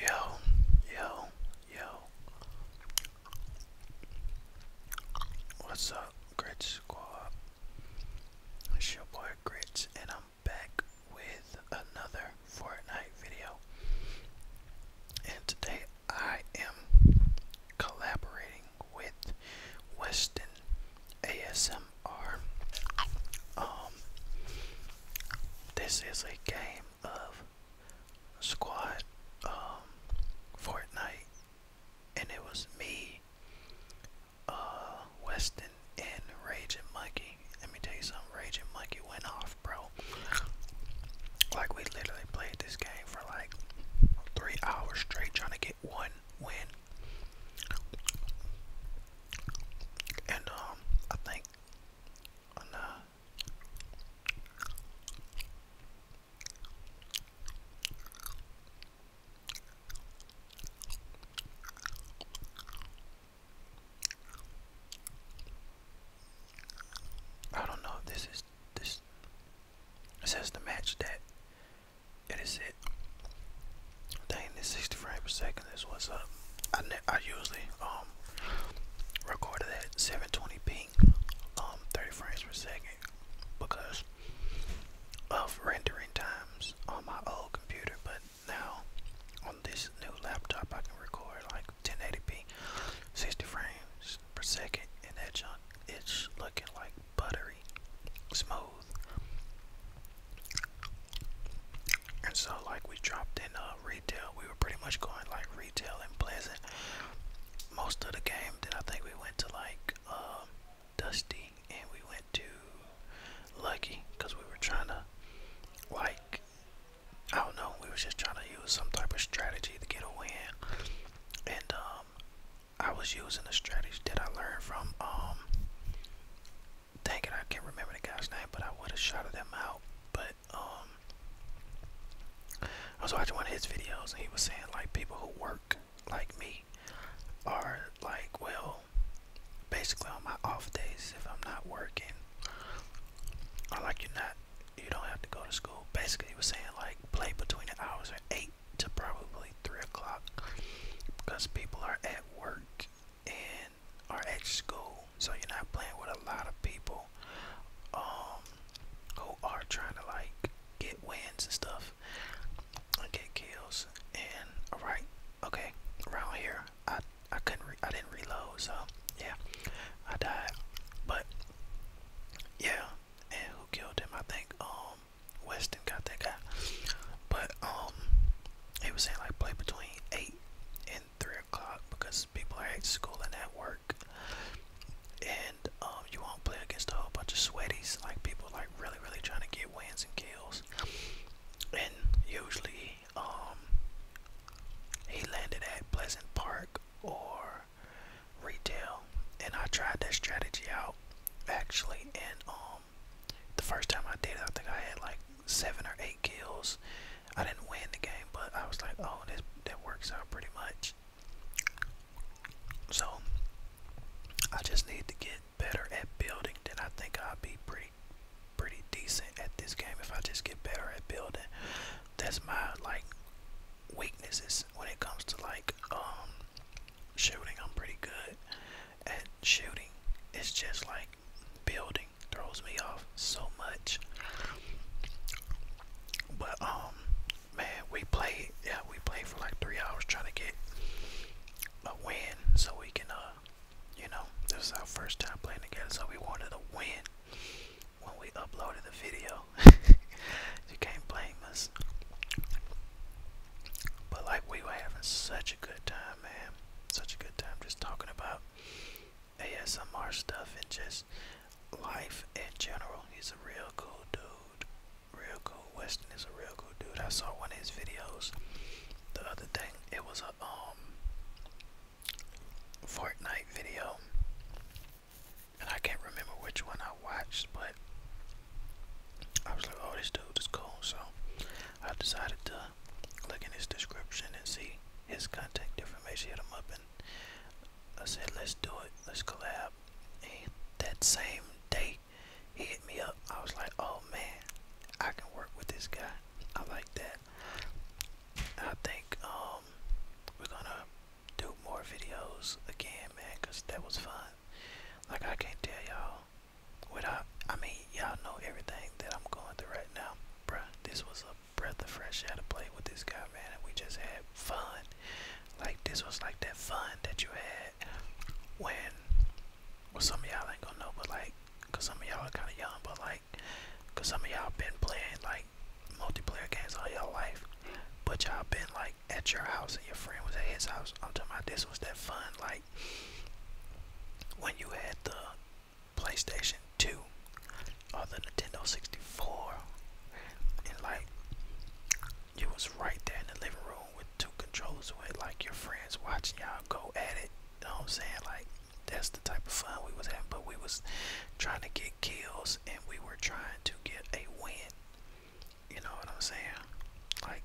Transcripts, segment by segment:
Yo, yo, yo. What's up, Great Squad? It's your boy Grits, and I'm back with another Fortnite video. And today I am collaborating with Weston ASMR. Um, this is a game of squad, um, Fortnite, and it was me, uh, Weston, and Raging Monkey. Let me tell you something, Raging Monkey went off, bro. Like, we literally played this game for like three hours straight trying to get one win. And um, I think uh, I don't know if this is this. This is the match that it is it. Dang, this 60 frames per second is what's up. I, I usually um recorded at 720 p, um 30 frames per second because of rendering times on my old computer. But now on this new laptop, I can record like 1080p, 60 frames per second, and that junk it's looking like buttery, smooth. And so, like, we dropped in uh, retail. We were pretty much going like retail and pleasant most of the game. Then I think we went to like uh, Dusty and we went to Lucky because we were trying to, like, I don't know, we were just trying to use some type of strategy to get a win. And um, I was using a strategy that I learned from um I can't remember the guy's name, but I would have shouted them out. But um, I was watching one of his videos and he was saying like people who work like me are like well basically on my off days if I'm not working or like you're not you don't have to go to school. Basically he was saying like play between the hours of eight to probably three o'clock because people are at work and are at school so you're not playing with a lot of people um who are trying to like get wins and stuff and get kills and all right okay around here i i couldn't i didn't reload so yeah i died but yeah and who killed him i think um um Weston got that guy. But um he was saying like play between eight and three o'clock because people are at school and at work. And um you won't play against a whole bunch of sweaties, like people like really, really trying to get wins and kills. And usually, um he landed at Pleasant Park or retail and I tried that strategy out actually, and um, the first time I did it, I think I had like seven or eight kills. I didn't win the game, but I was like, oh, this that works out pretty much. So I just need to get better at building. Then I think I'll be pretty, pretty decent at this game if I just get better at building. That's my like weaknesses when it comes to like um shooting. I'm pretty good at shooting. It's just like building throws me off so much. But um, man, we played. Yeah, we played for like three hours trying to get a win so we can uh, you know, this is our first time playing together, so we wanted a win when we uploaded the video. you can't blame us. But like we were having such a good time, man. Such a good time just talking about ASMR stuff and just life in general. He's a real cool dude. Real cool. Weston is a real cool dude. I saw one of his videos the other thing. It was a um Fortnite video and I can't remember which one I watched, but I was like, oh, this dude is cool, so I decided to look in his description and see his contact information, hit him up, and I said, let's do it, let's collab. And that same day, he hit me up. I was like, oh man, I can work with this guy. I like that. I think um, we're gonna do more videos again, man, because that was fun like I can't tell y'all without I mean y'all know everything that I'm going through right now. Bruh, this was a breath of fresh air to play with this guy man and we just had fun. Like this was like that fun that you had when well some of y'all ain't gonna know but like cause some of y'all are kinda young but like cause some of y'all been playing like multiplayer games all your life but y'all been like at your house and your friend was at his house. I'm talking about this was that fun, like when you had the PlayStation 2 or the Nintendo 64, and like you was right there in the living room with two controllers with like your friends watching y'all go at it. You know what I'm saying? Like that's the type of fun we was having, but we was trying to get kills and we were trying to get a win. You know what I'm saying? Like,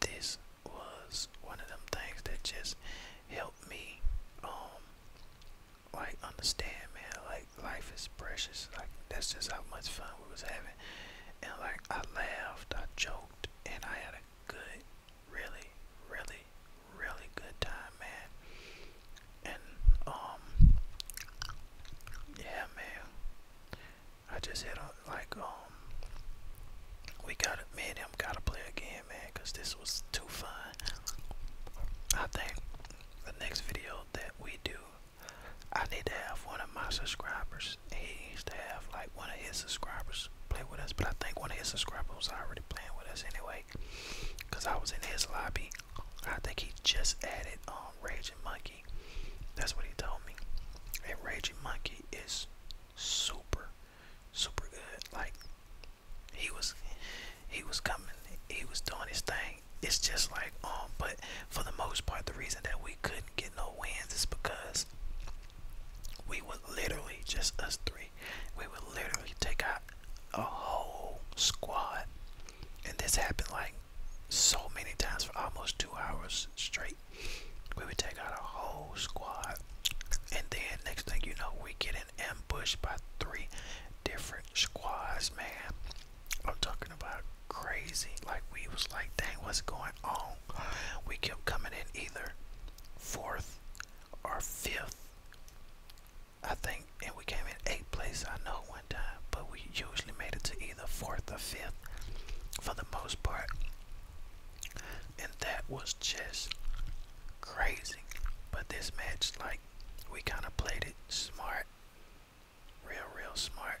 this was one of them things that just helped me, um, like, understand, man. Like, life is precious. Like, that's just how much fun we was having. And, like, I laughed, I joked, and I had a good, really, really, really good time, man. And, um, yeah, man. I just hit on like, um, we gotta, man, I'm gotta play again, man, cause this was too fun. I think the next video that we do, I need to have one of my subscribers. He needs to have like one of his subscribers play with us, but I think one of his subscribers was already playing with us anyway, I was in his lobby. I think he just added um Raging Monkey that's what he told me. A raging monkey is super, super good. Like he was, he was coming. He was doing his thing. It's just like um, but for the most part, the reason that we couldn't get no wins is because we were literally just us three. We would literally take out a whole squad, and this happened like so many times for almost two hours straight. We would take out a whole squad. And then next thing you know, we get an ambush by three different squads, man. I'm talking about crazy. Like we was like, dang, what's going on? We kept coming in either fourth or fifth. I think and we came in eighth place. I know one time, but we usually made it to either fourth or fifth for the most part, and that was just crazy. But this match, like, we kind of played it smart, real, real smart.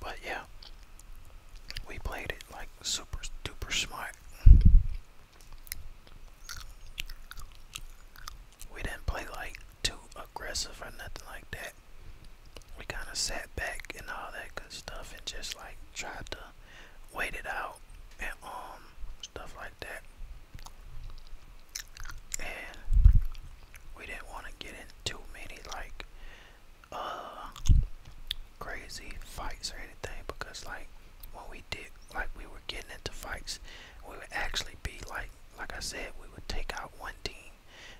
But yeah, we played it like super super smart. We didn't play like too aggressive or nothing like that. We kind of sat back and all that good stuff and just like tried to wait it out and um stuff like that. And we didn't want to get in too many like uh crazy fights or anything because like when we did like we were getting into fights we would actually be like like I said we would take out one team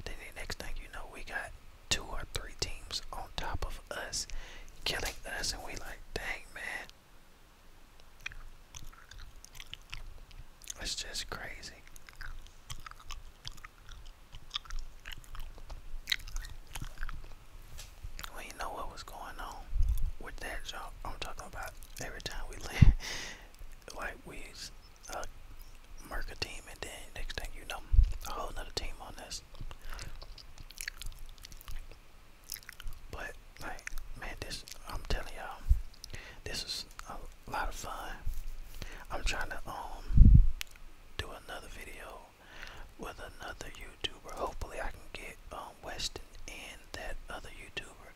then the next thing you know we got two or three teams on top of us killing us and we like dang man it's just crazy well, know what was going on with that job. I'm talking about every time we land, like we uh, a team, and then next thing you know, a whole nother team on this. But like, man, this I'm telling y'all, this is a lot of fun. I'm trying to um do another video with another YouTuber. Hopefully, I can get um, Weston and that other YouTuber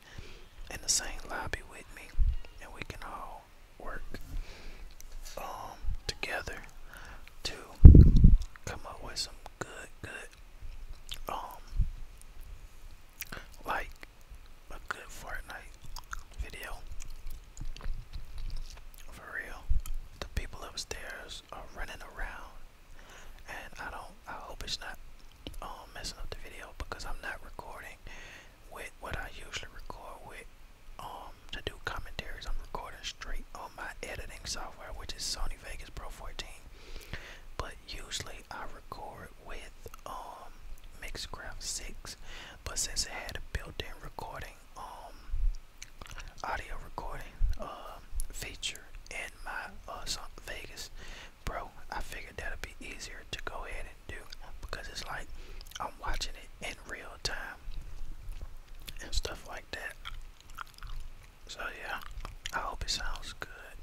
in the same lobby with me, and we can all work um, together to come up with some good, good, um, like a good Fortnite video. For real, the people upstairs are running around, and I don't. I hope it's not um, messing up the video because I'm not recording with what I usually record with um to do commentaries. I'm recording straight on my editing software, which is Sony Vegas Pro 14. But usually I record with um Mixcraft 6, but since it had a built-in recording um, audio recording, uh, feature in my uh, Vegas, bro. I figured that'd be easier to go ahead and do because it's like I'm watching it in real time and stuff like that. So yeah, I hope it sounds good.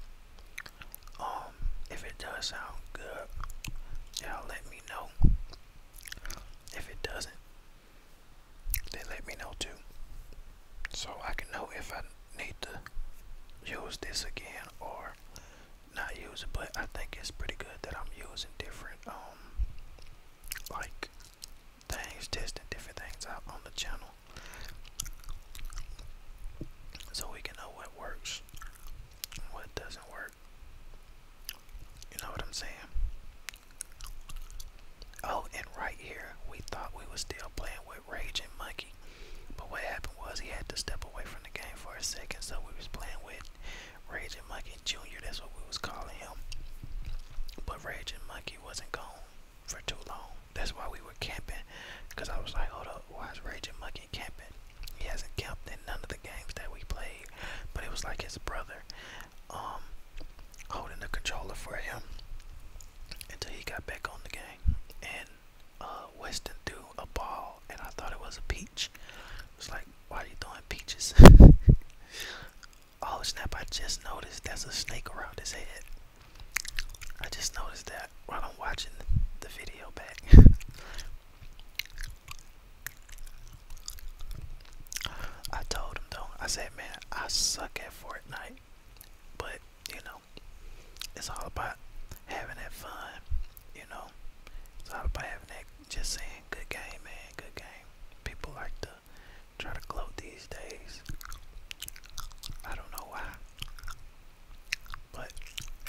Um, if it does sound good, y'all let me know. If it doesn't, they let me know too. So I can know if I need to use this again or not use it. But I think it's pretty good that I'm using different, um, like things, testing different things out on the channel. So we can know what works and what doesn't work. You know what I'm saying? Oh, and right here, we thought we were still playing with Raging Monkey. But what happened was he had to step away from the game for a second, so we was playing with Raging Monkey Jr. That's what we was calling him. But Raging Monkey wasn't gone for too long. That's why we were camping. Because I was like, hold up, why is Raging Monkey camping? He hasn't kept in none of the games that we played, but it was like his brother um, holding the controller for him until he got back on the game. And uh, Weston threw a ball, and I thought it was a peach. It's like, why are you throwing peaches? oh snap, I just noticed that's a snake around his head. I just noticed that while I'm watching the video back. I told him though, I said, man, I suck at Fortnite, but you know, it's all about having that fun, you know, it's all about having that, just saying, good game, man, good game. People like to try to gloat these days. I don't know why, but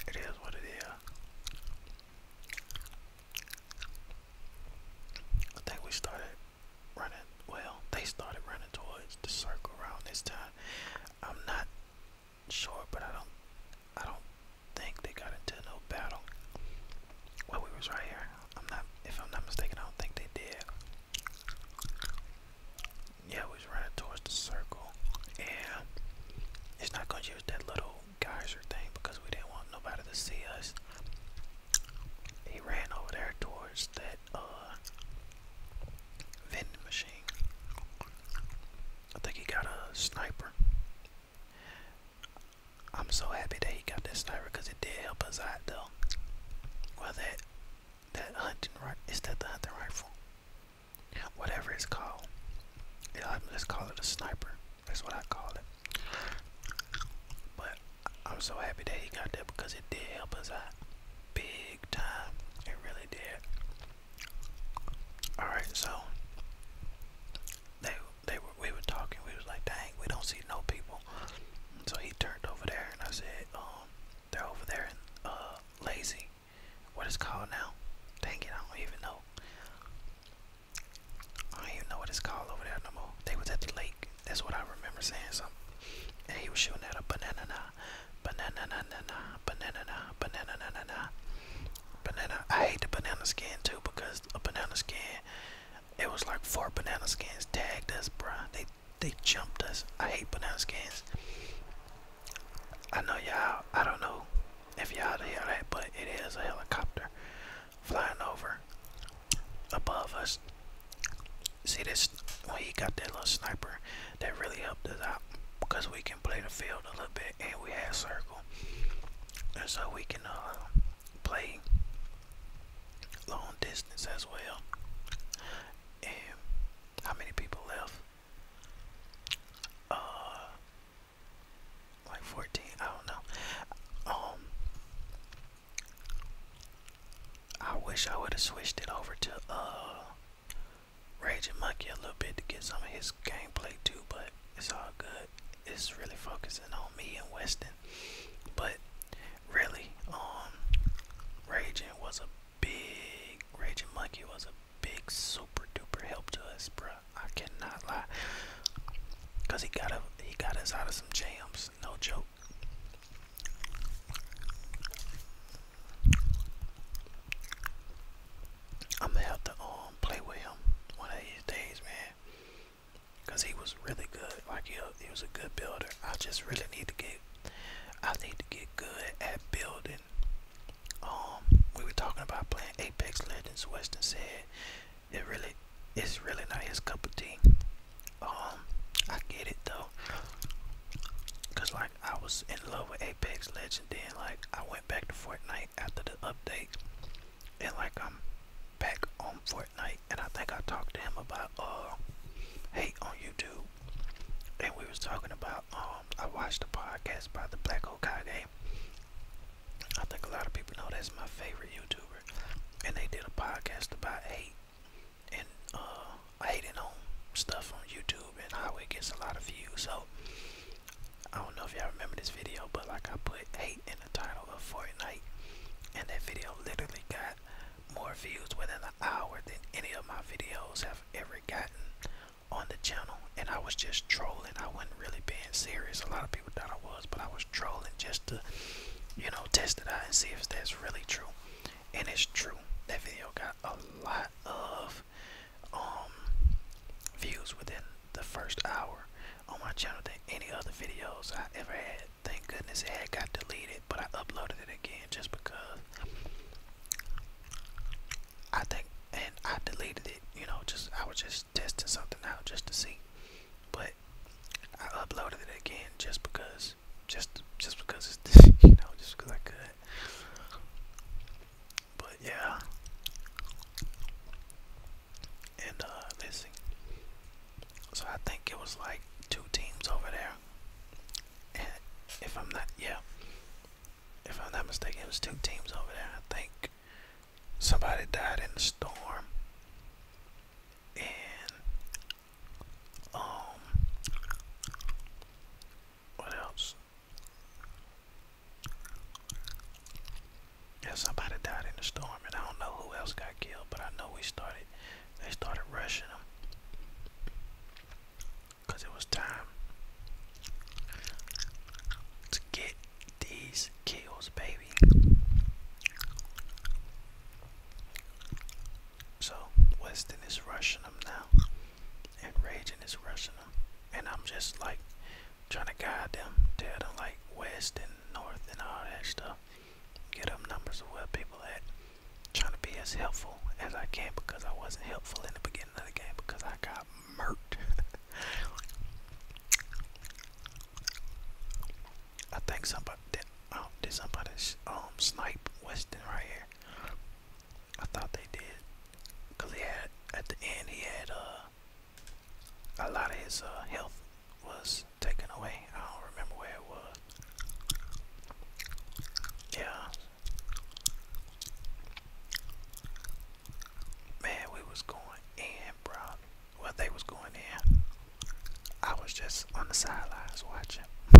it is what it is. I think we started running, well, they started running towards the circle around this time. I'm not sure, but I don't, I don't think they got into no battle. Well, we was right here. I'm not, if I'm not mistaken, I don't think they did. Yeah, we was running towards the circle, and it's not gonna use that little geyser thing because we didn't want nobody to see us. He ran over there towards that uh vending machine. I think he got a sniper. I'm so happy that he got that sniper because it did help us out though. Well that that hunting right is that the hunting rifle? Whatever it's called. Yeah, let's call it a sniper. That's what I call it. But I'm so happy that he got there because it did help us out big time. It really did. Alright, so they they were we were talking, we was like, dang, we don't see no people. So he turned over there and I said, um, they're over there in uh, lazy. What is called now? Dang it, I don't even know. I don't even know what it's called over there no more. They was at the lake. That's what I remember saying something. And he was shooting at a banana na banana na na na banana na banana na na na banana. I hate the banana skin too because a banana skin it was like four banana skins tagged us, bruh. They they jumped us. I hate banana skins. I know y'all I don't know if y'all to hear that, but it is a helicopter flying over above us. See this when he got that little sniper that really helped us out because we can play the field a little bit and we have circle and so we can uh, play long distance as well and how many people left uh like 14 i don't know um i wish i would have switched it over to uh raging monkey a little bit to get some of his gameplay too but it's all good it's really focusing on me and weston but really um raging was a big raging monkey was a big super duper help to us bro. I cannot lie. Cause he got a, he got us out of some jams, no joke. I'm gonna have to um play with him one of these days, man. Cause he was really good. Like he, he was a good builder. I just really need to get, I need to get good at building um we were talking about playing Apex Legends. Weston said it really it's really not his cup of tea. Um, I get it though, cause like I was in love with Apex Legends, then like I went back to Fortnite after the update, and like I'm back on Fortnite, and I think I talked to him about uh hate on YouTube, and we was talking about um um, I watched a podcast by the Black Okage. I think a lot of people know that's my favorite YouTuber, and they did a podcast about hate and uh, hating on stuff on YouTube and how it gets a lot of views. So I don't know if y'all remember this video, but like I put hate in the title of Fortnite, and that video literally got more views within an hour than any of my videos have ever gotten on the channel and I was just trolling. I wasn't really being serious. A lot of people thought I was, but I was trolling just to, you know, test it out and see if that's really true. And it's true. That video got a lot of um views within the first hour on my channel than any other videos I ever had. Thank goodness it had got deleted, but I uploaded it again just because I think, and I deleted it. You know, just I was just testing something out just to see, but I uploaded it again just because, just just because it's you know just because I could. But yeah, and uh, let's see. So I think it was like two teams over there, if I'm not, yeah, if I'm not mistaken, it was two teams over there. I think somebody died in the storm, and um, what else? Yeah, somebody died in the storm, and I don't know who else got killed, but I know we started. They started rushing them because it was time to get these kills, baby. So Weston is rushing them now, and Raging is rushing them, and I'm just like trying to guide them, tell them like West and North and all that stuff. Get them numbers of where people at. Trying to be as helpful as I can because I wasn't helpful in the beginning beginning game because I got murked. I think somebody did, um, did somebody um snipe Weston right here. I thought they did, cause he had at the end he had uh a lot of his uh, health was taken away. I don't remember where it was. Yeah, Man, we was going in, bro. Well, they was going in. I was just on the sidelines watching.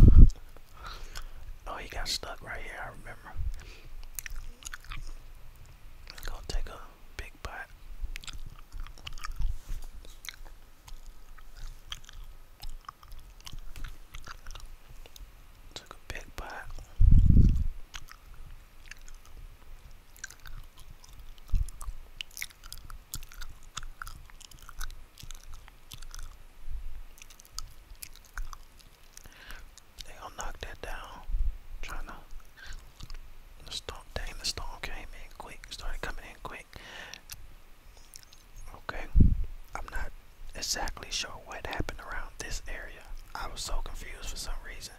oh, he got stuck right here. I remember. gonna take a big bite. Took a big bite. They gonna knock down. Trying to the storm dang the came in quick, started coming in quick. Okay. I'm not exactly sure what happened around this area. I was so confused for some reason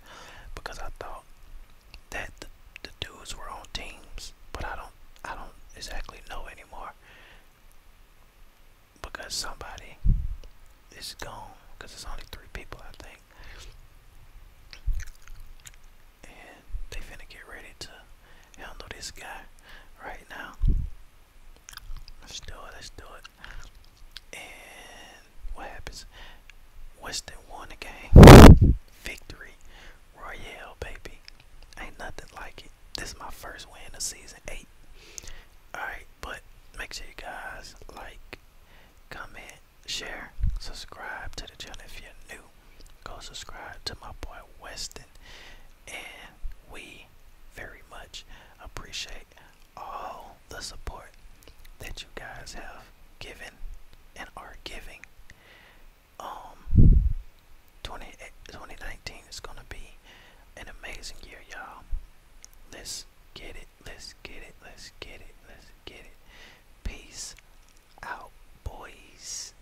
because I thought that the, dudes were on teams, but I don't I don't exactly know anymore because somebody is gone because it's only three people I think and they finna get ready to handle this guy right now Let's do it. Let's do it. And what happens? Weston won again. Victory. Royale, baby. Ain't nothing like it. This is my first win of season 8. Alright, but make sure you guys like, comment, share, subscribe to the channel if you're new. Go subscribe to my boy Weston. And we very much appreciate all the support that you guys have given and are giving. Um, 20, 2019 is going to be an amazing year, y'all. Let's get it, let's get it, let's get it, let's get it. Peace out, boys.